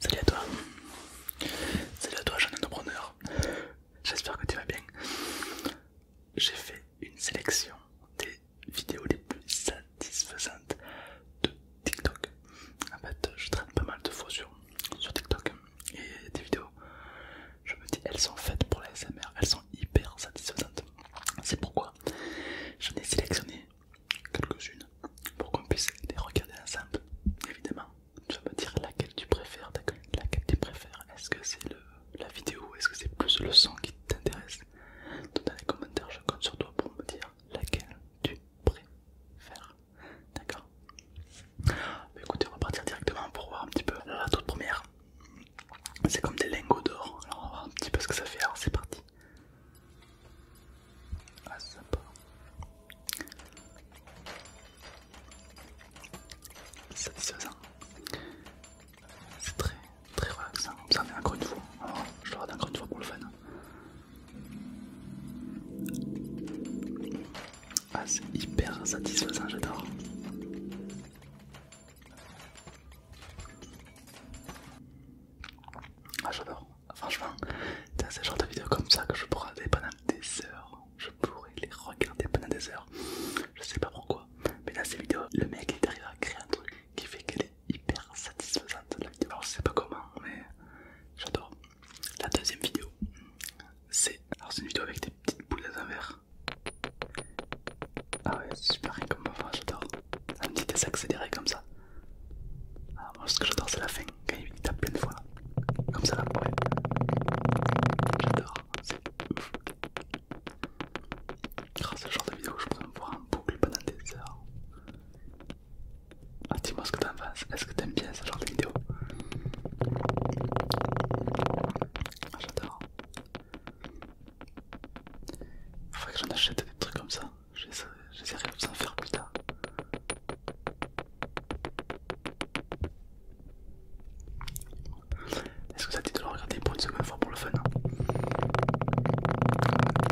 Salut à toi, salut à toi jeune entrepreneur, j'espère que tu vas bien. J'ai fait une sélection des vidéos les plus satisfaisantes de TikTok. En fait, je traîne pas mal de fois sur, TikTok et des vidéos. Je me dis, elles sont faites pour les elles sont hyper satisfaisantes. C'est pourquoi J'en ai sélectionné quelques-unes pour qu'on puisse les regarder ensemble. Évidemment, tu vas me dire laquelle tu préfères, laquelle tu préfères. Est-ce que c'est la vidéo, est-ce que c'est plus le son qui t'intéresse Dans les commentaires, je compte sur toi pour me dire laquelle tu préfères. D'accord bah, Écoutez, on va partir directement pour voir un petit peu la toute première. C'est comme des lingots d'or. Alors on va voir un petit peu ce que ça fait. Alors c'est parti. Ah, c'est sympa. Satisfaisant. C'est très très relaxant. Hein. Ça en est encore une fois. je le regarde encore une fois pour le fun. Ah, c'est hyper satisfaisant, j'adore. Ah j'adore, franchement, c'est ce genre de vidéos comme ça que je pourrais regarder pendant des heures. Je pourrais les regarder pendant des heures. Je sais pas pourquoi, mais dans ces vidéos, le mec il arrive à créer un truc qui fait qu'elle est hyper satisfaisante la vidéo. je sais pas comment, mais j'adore. La deuxième vidéo, c'est une vidéo avec des Petite boule dans un verre. Ah ouais, c'est super rien comme j'adore. Un petit désaccéléré comme ça. Ah, moi, ce que j'adore, c'est la fin, quand il tape plein de fois. Comme ça, là, ouais. J'adore, c'est ouf. Grâce oh, à ce genre de vidéo, je pourrais me voir en boucle pendant des heures. Ah, dis-moi ce que t'en penses, est-ce que t'aimes bien ce genre de vidéo ah, J'adore il Faudrait que j'en achète des trucs comme ça. J'essaierai de vous en faire plus tard. Est-ce que ça te dit de le regarder pour une seconde fois pour le fun il hein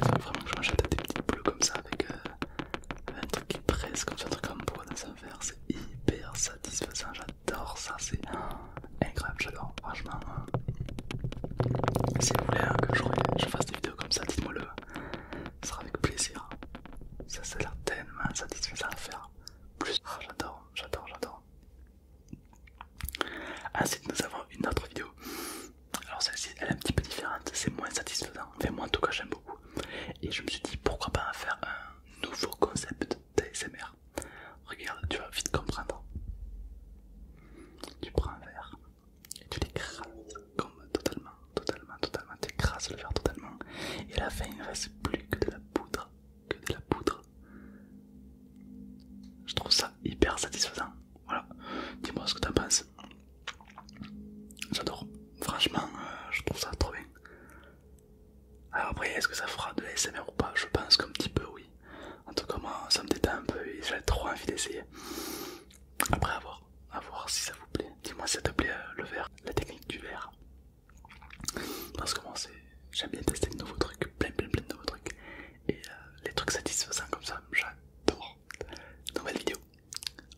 Faudrait vraiment que je m'achète des petits boules comme ça avec, euh, un truc qui presse, comme ça, un truc comme bois dans un verre. C'est hyper satisfaisant, j'adore ça, c'est incroyable, j'adore, franchement. Si vous voulez hein, que je, fasse des vidéos comme ça, dites-moi le, ce sera avec plaisir. Ça, ça a l'air tellement satisfaisant à faire. Plus, ah, j'adore, j'adore, j'adore. Ensuite, nous avons une autre vidéo. Alors, celle-ci, elle est un petit peu différente, c'est moins satisfaisant. Enfin, moi en tout cas, j'aime beaucoup. Et je me suis dit pourquoi pas en faire un nouveau concept d'ASMR. Regarde, tu vas vite comprendre. Tu prends un verre et tu l'écrases comme totalement, totalement, totalement. Tu écrases le verre totalement. Et la fin, il ne reste plus que de la poudre. Que de la poudre. Je trouve ça hyper satisfaisant. Voilà. Dis-moi ce que t'en penses. J'adore. Franchement, euh, je trouve ça trop bien. Alors après, est-ce que ça fera de l'asmr ou pas Je pense qu'un petit peu, oui. En tout cas, moi, ça me détend un peu et j'ai trop envie d'essayer. Après, à voir, à voir si ça vous plaît. Dis-moi si ça te plaît euh, le verre, la technique du verre. Parce que moi, j'aime bien tester de nouveaux trucs, plein, plein, plein de nouveaux trucs. Et euh, les trucs satisfaisants comme ça, j'adore. Nouvelle vidéo.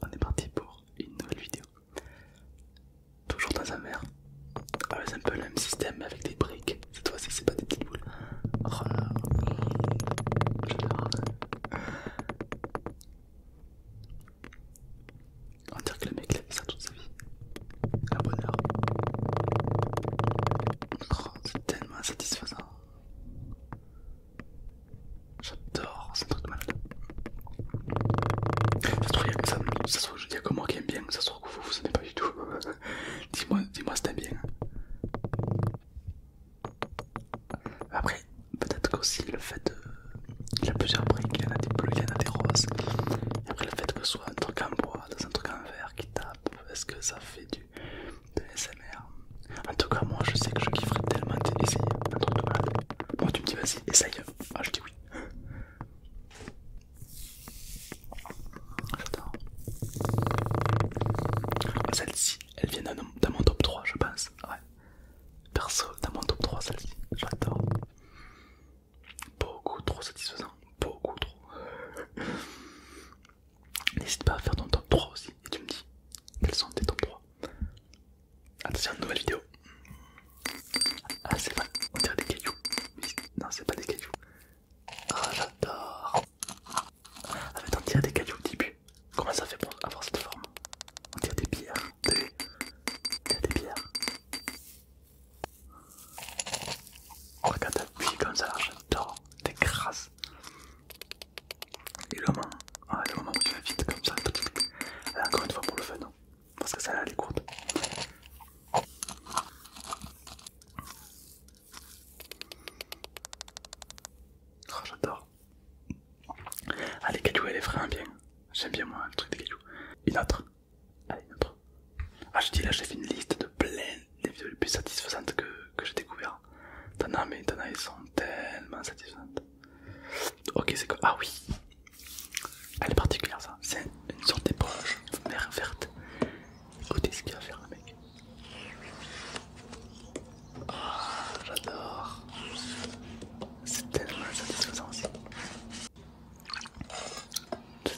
On est parti pour une nouvelle vidéo. Toujours dans un mère. Ah, c'est un peu le même système mais avec des briques. Cette fois-ci, c'est pas des petites boules. Oh J'adore. On dirait que le mec l'a fait ça toute sa vie. Un bonheur. Oh, c'est tellement satisfaisant. J'adore, c'est un truc de malade. Ça se trouve, il y a que ça. qui aime bien que vous vous êtes pas du tout. dis-moi, dis-moi si t'aimes bien. Après, peut-être qu'aussi le fait de. Il y a plusieurs briques, il y en a des bleus, il y en a des roses. après, le fait que ce soit un truc en bois, dans un truc en verre qui tape, est-ce que ça fait du. SMR En tout cas, moi je sais que je kifferais tellement d'essayer un truc de malade. Bon, tu me dis vas-y, essaye. Ah, je dis oui. J'adore. Ah, celle-ci, elle vient dans mon top 3, je pense. Ouais. Perso, dans mon top 3, celle-ci. J'adore. Beaucoup trop satisfaisant. Beaucoup trop. N'hésite pas à faire ton top 3 aussi. Et tu me dis quels sont tes top 3. une nouvelle vidéo. Ah, c'est pas on tire des cailloux. Non, c'est pas des cailloux. Ah, j'adore. Ah, mais on tire des cailloux au début. Comment ça fait pour avoir cette forme On tire des pierres. Des... Il des pierres. regarde, t'appuies comme ça, j'adore. T'es crasse. Et le moment, ah, le moment où tu vas vite comme ça. Euh, encore une fois pour le fun. Hein parce que ça là elle est courte. Oh, j'adore. Ah, les cailloux, elle est vraiment bien. J'aime bien, moi, le truc des cailloux. Une autre. une Ah, je dis là, j'ai fait une liste de plein les vidéos les plus satisfaisantes que, j'ai découvert. T'en as, mais t'en as, elles sont tellement satisfaisantes. Ok, c'est quoi Ah oui, elle est particulière ça. C'est une sorte d'éponge vert verte. Écoutez ce qu'il va faire, le mec. Ah, j'adore. C'est tellement satisfaisant aussi.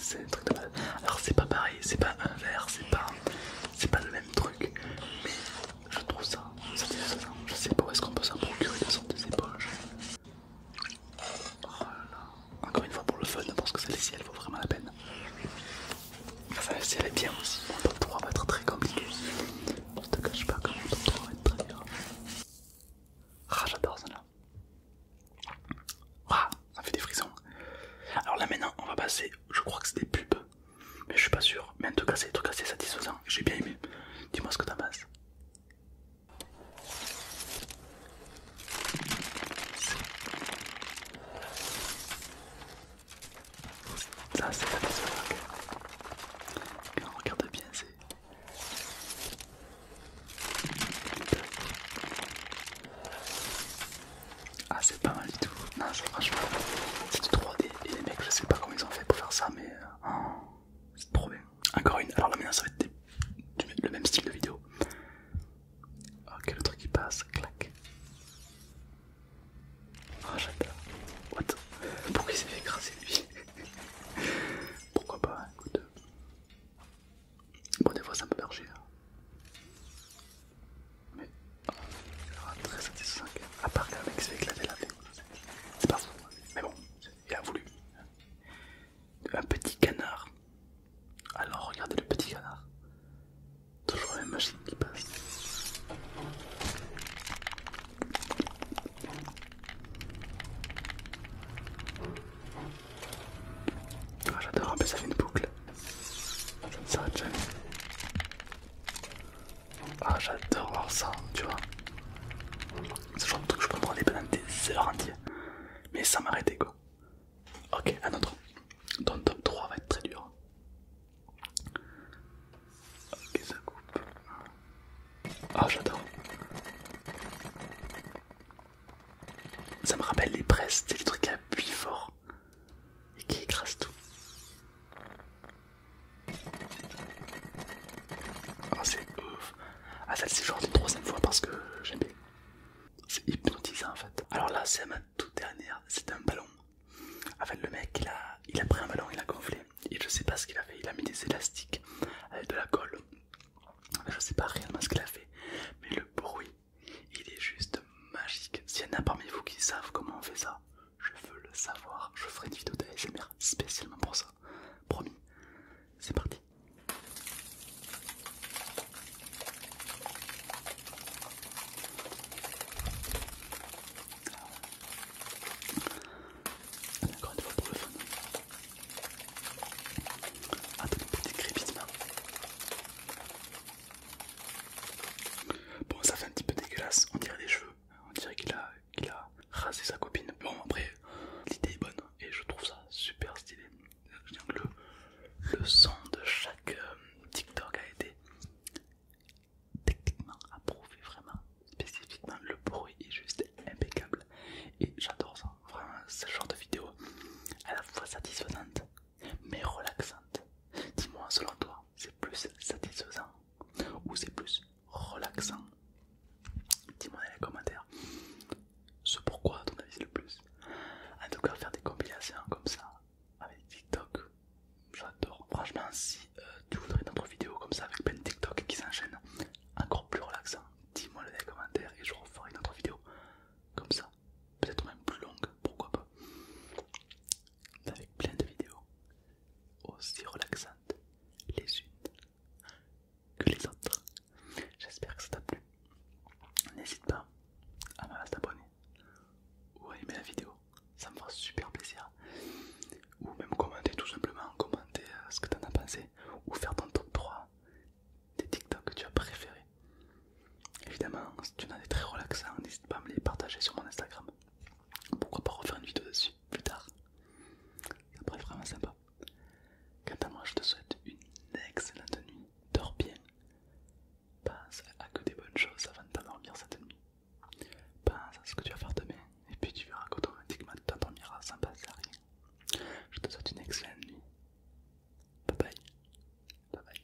C'est un truc de mal. Alors, c'est pas pareil, c'est pas un verre, c'est pas, c'est pas le même truc. Mais je trouve ça satisfaisant. Je sais pas où est-ce qu'on peut s'en procurer une sorte d'éponge. Oh Encore une fois pour le fun, je pense que celle-ci elle vaut vraiment la peine. Enfin, si elle est bien aussi, mon top 3 va être très compliqué. Je te cache pas que mon top 3 va être très dur. Ah, j'adore ça là Ah, ça fait des frissons. Alors là maintenant, on va passer, je crois que c'est des pubs, mais je suis pas sûr. Mais en tout cas, c'est tout cas, c'est satisfaisant. J'ai bien aimé. Dis-moi ce que t'en penses. Ça c'est pas pisologue. Quand regarde bien c'est... Ah c'est pas mal du tout. Non je, franchement c'est du 3D et les mecs je sais pas comment ils ont fait pour faire ça mais... Euh, oh, c'est trop problème encore une. Alors la mienne ça va être le même style de vidéo. Ok oh, le truc qui passe, clac. oh, j'adore. What Pourquoi il s'est fait écraser lui Pourquoi pas, écoute. Bon des fois ça me marcher. Hein. Mais oh, aura très satisfaisant. À part qu'un mec s'est éclaté la vidéo. C'est pas fou. Mais bon, il a voulu un petit canard. Alors regardez le petit canard. Toujours la même machine qui passe. Ah, J'adore, ça fait une boucle. Ça ne s'arrête jamais. Ah, j'adore voir ça, tu vois. C'est genre de truc, je peux prendre des pendant des heures entières. Mais ça m'arrêter, quoi. Ok, un autre. donc top 3 va être très dur. Ok, ça coupe. Ah, j'adore. Ça me rappelle les presses, c'est les trucs qui appuient fort et qui écrase tout. Ah, c'est ouf. Ah, celle-ci, une troisième fois parce que j'aime bien. C'est hypnotisant en fait. Alors là, c'est ma toute dernière. C'est un ballon. En le mec, il a, il a pris un ballon, il a gonflé. Et je sais pas ce qu'il a fait. Il a mis des élastiques avec de la colle. Je sais pas réellement ce qu'il a fait. Mais le bruit, il est juste magique. S'il y en a parmi vous qui savent comment on fait ça, je veux le savoir. Je ferai vidéo de d'ASMR spécialement pour ça. Promis, c'est parti. Allez, ah. encore une fois pour le fun. Attends, ah, Bon, ça fait un petit peu dégueulasse. On dirait des cheveux. On dirait qu'il a il a rasé sa copine. Bon, après, l'idée est bonne et je trouve ça super stylé. Je que le, son de chaque euh, TikTok a été techniquement approuvé, vraiment spécifiquement. Le bruit est juste impeccable et j'adore ça. Vraiment, ce genre de vidéo à la fois satisfaisante mais relaxante. Dis-moi, selon toi, c'est plus satisfaisant ou c'est plus relaxant Dis-moi dans les commentaires ce pourquoi ton avis le plus. En tout cas, faire des compilations comme ça avec TikTok, j'adore. Franchement, si euh, tu voudrais autre vidéo comme ça avec plein de TikTok qui s'enchaînent, encore plus relaxant, dis-moi dans les commentaires et je referai une autre vidéo comme ça, peut-être même plus longue, pourquoi pas avec plein de vidéos aussi relaxantes les unes que les autres. J'espère que ça t'a plu. N'hésite pas à t'abonner ou à aimer la vidéo, ça me fera super plaisir. Ou même commenter tout simplement, commenter euh, ce que t'en as pensé ou faire ton top 3 des TikTok que tu as préféré. Évidemment, si tu en as des très relaxants, n'hésite pas à me les partager sur mon Instagram. Pourquoi pas refaire une vidéo dessus plus tard Ça pourrait être vraiment sympa. Quant à moi, je te souhaite une excellente nuit. Dors bien. Pense à que des bonnes choses avant de t'endormir cette nuit. Pense à ce que tu vas faire demain et puis tu verras qu'automatiquement tu t'endormiras sans passer à rien. Je te souhaite une excellente nuit. Bye Bye bye.